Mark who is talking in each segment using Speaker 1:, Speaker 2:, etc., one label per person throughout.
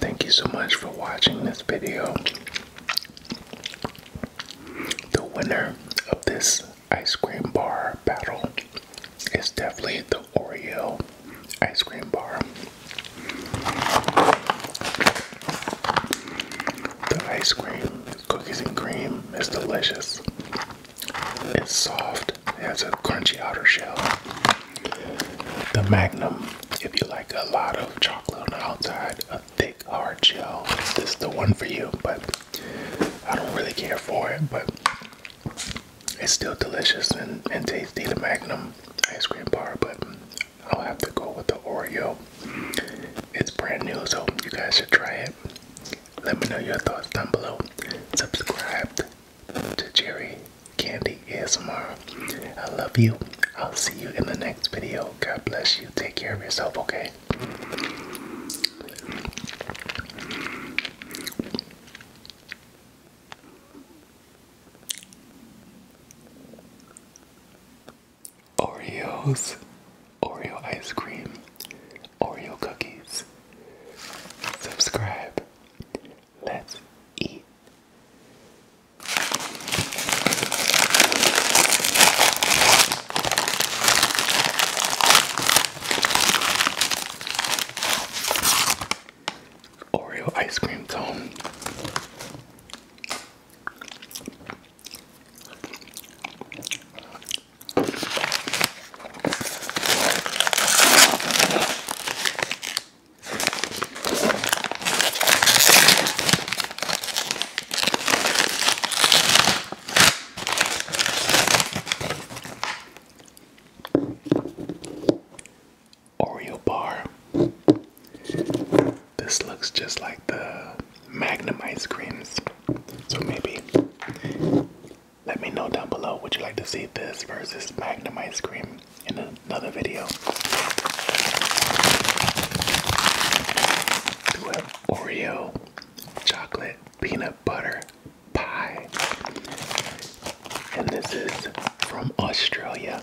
Speaker 1: Thank you so much for watching this video. The winner of this ice cream bar battle is definitely the Oreo ice cream bar. The ice cream, cookies and cream, is delicious. It's soft it has a crunchy outer shell. The Magnum, if you like a lot of chocolate on the outside, a thick hard shell, this is the one for you. But I don't really care for it, but it's still delicious and, and tasty. The Magnum ice cream bar, but I'll have to go with the Oreo. It's brand new, so you guys should try it. Let me know your thoughts down below. Subscribe to Jerry
Speaker 2: Candy is ASMR. I love you. I'll see you in the next
Speaker 1: video. God bless you. Take care of yourself, okay? Oreos, Oreo ice cream, Oreo cookies subscribe. Let's eat. Oreo ice cream cone. Oreo bar. This looks just like the Magnum ice creams. So maybe let me know down below. Would you like to see this versus Magnum ice cream in another video? Do an Oreo chocolate peanut butter pie. And this is from Australia.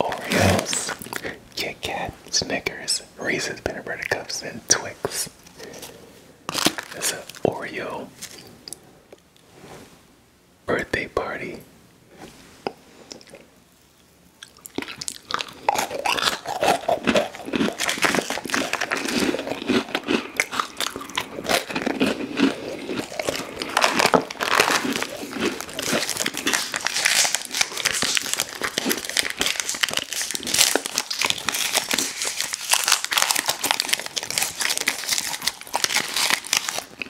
Speaker 1: Oreos, Kit Kat, Snickers, Reese's peanut butter cups, and Twix. That's an Oreo birthday party.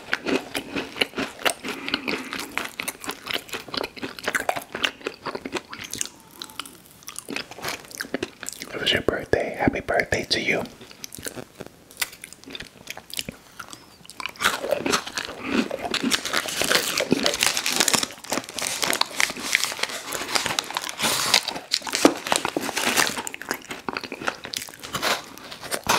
Speaker 1: It was your birthday. Happy birthday to you.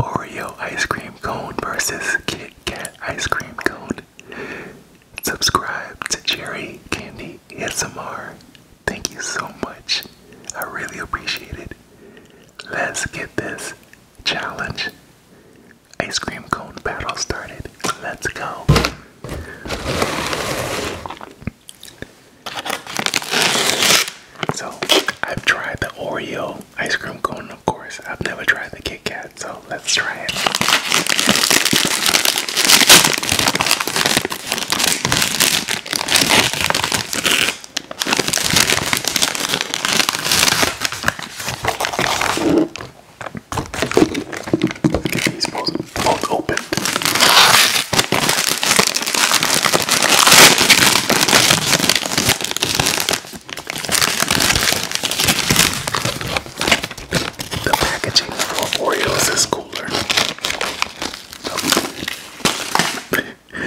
Speaker 1: Oreo ice cream cone versus Kit Kat ice cream cone. Subscribe to Cherry Candy ASMR. Thank you so much. I really appreciate it. Let's get this challenge ice cream cone battle started. Let's go. So I've tried the Oreo ice cream cone, of course. I've never tried the Kit Kat, so let's try it. Get these both, both opened. The packaging for Oreos is cooler.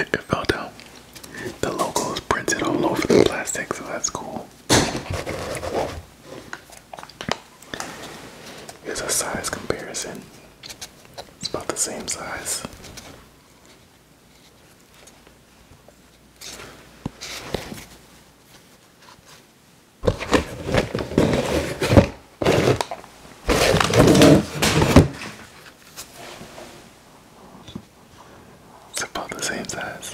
Speaker 1: it fell down. The logo is printed all over the plastic, so that's cool. Here's a size comparison. It's about the same size. It's about the same size.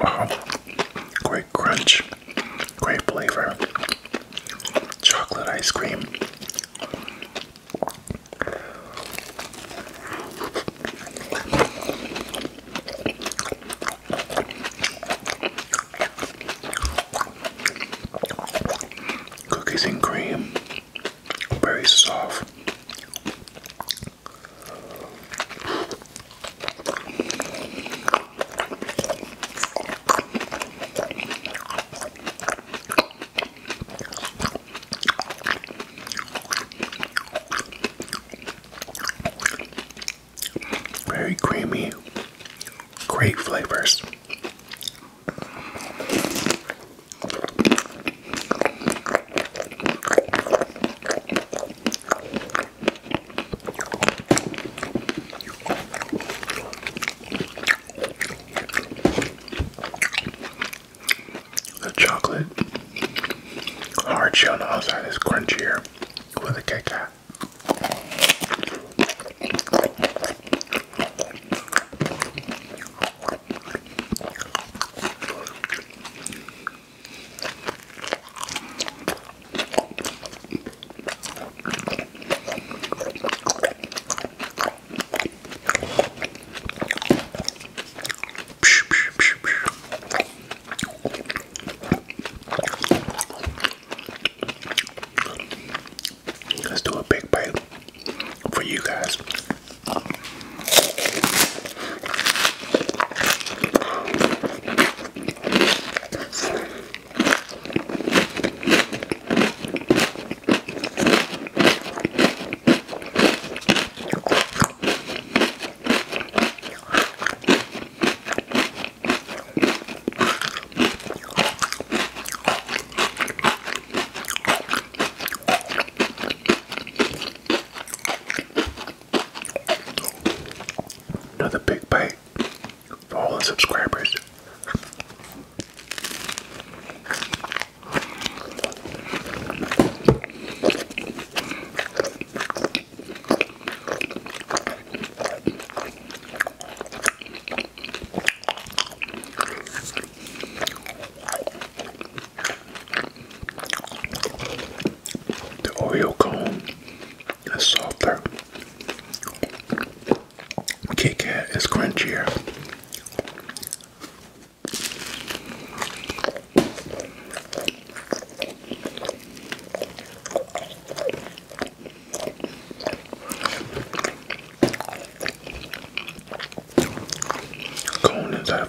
Speaker 1: Wow, great crunch, great flavor, chocolate ice cream. Cookies and cream, very soft. Very creamy, great flavors. The chocolate hard shell outside is crunchier with a cake Let's do a big bite for you guys. Another big bite like all the subscribers. The Oreo it's softer. Kit Kat is crunchier. Cone inside of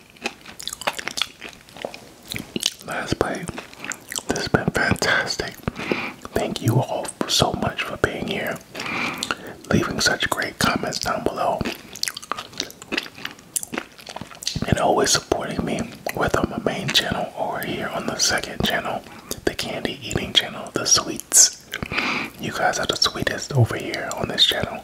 Speaker 1: Last play. This has been fantastic. Thank you all so much for being here, leaving such great comments down below, and always supporting me, whether on my main channel or here on the second channel, the candy eating channel, the sweets. You guys are the sweetest over here on this channel.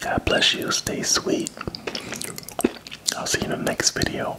Speaker 1: God bless you. Stay sweet. I'll see you in the next video.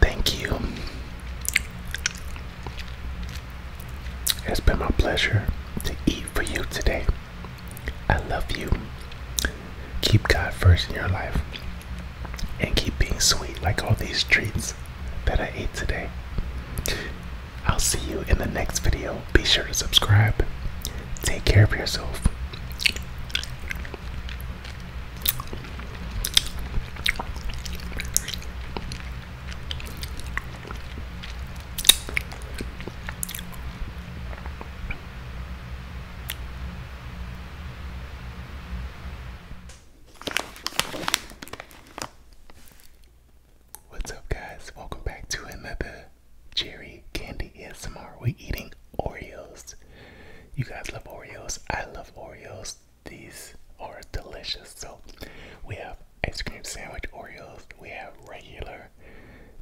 Speaker 1: Thank you. It's been my pleasure to eat for you today. I love you. Keep God first in your life and keep being sweet like all these treats that I ate today. I'll see you in the next video. Be sure to subscribe Take care of yourself. What's up, guys? Welcome back to another Cherry Candy ASMR. We're eating Oreos. You guys love Oreos. I love Oreos. These are delicious. So we have ice cream sandwich
Speaker 2: Oreos. We have regular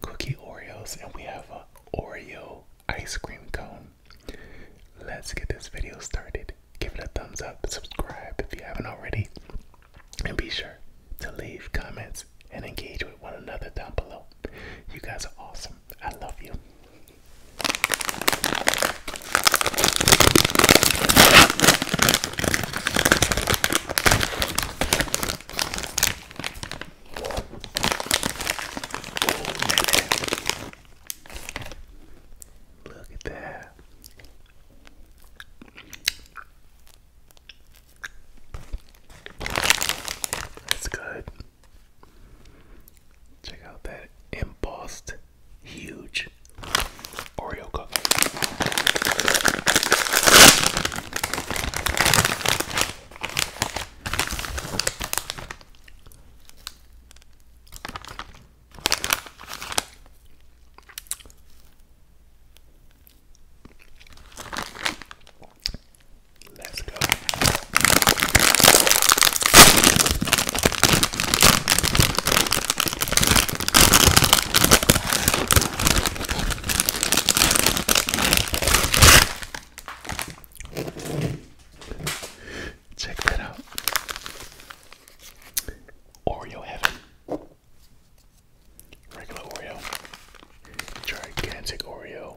Speaker 2: cookie Oreos, and we have a Oreo ice cream cone. Let's get this video started.
Speaker 1: Give it a thumbs up, subscribe if you haven't already, and be sure to leave comments and engage with one another down below. You guys are awesome. I love you. Look at that. That's good. Check out that embossed, huge Oreo cookie. Let's go. Check that out. Oreo heaven. Regular Oreo. Gigantic Oreo.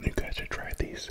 Speaker 1: You guys should try these.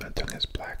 Speaker 1: My tongue is black.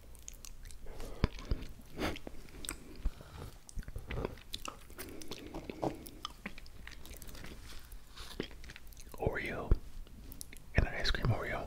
Speaker 1: Oreo and an ice cream Oreo.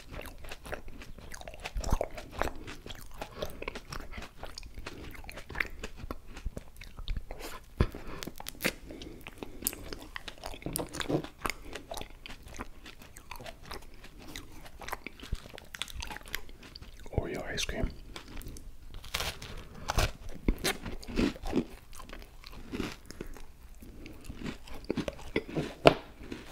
Speaker 1: Oreo ice cream.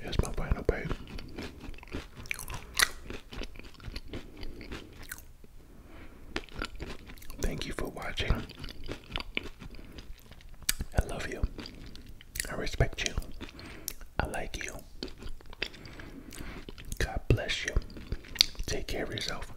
Speaker 1: Here's my final bite. Thank you for watching. I love you. I respect you. I like you. God bless you. Take care of yourself.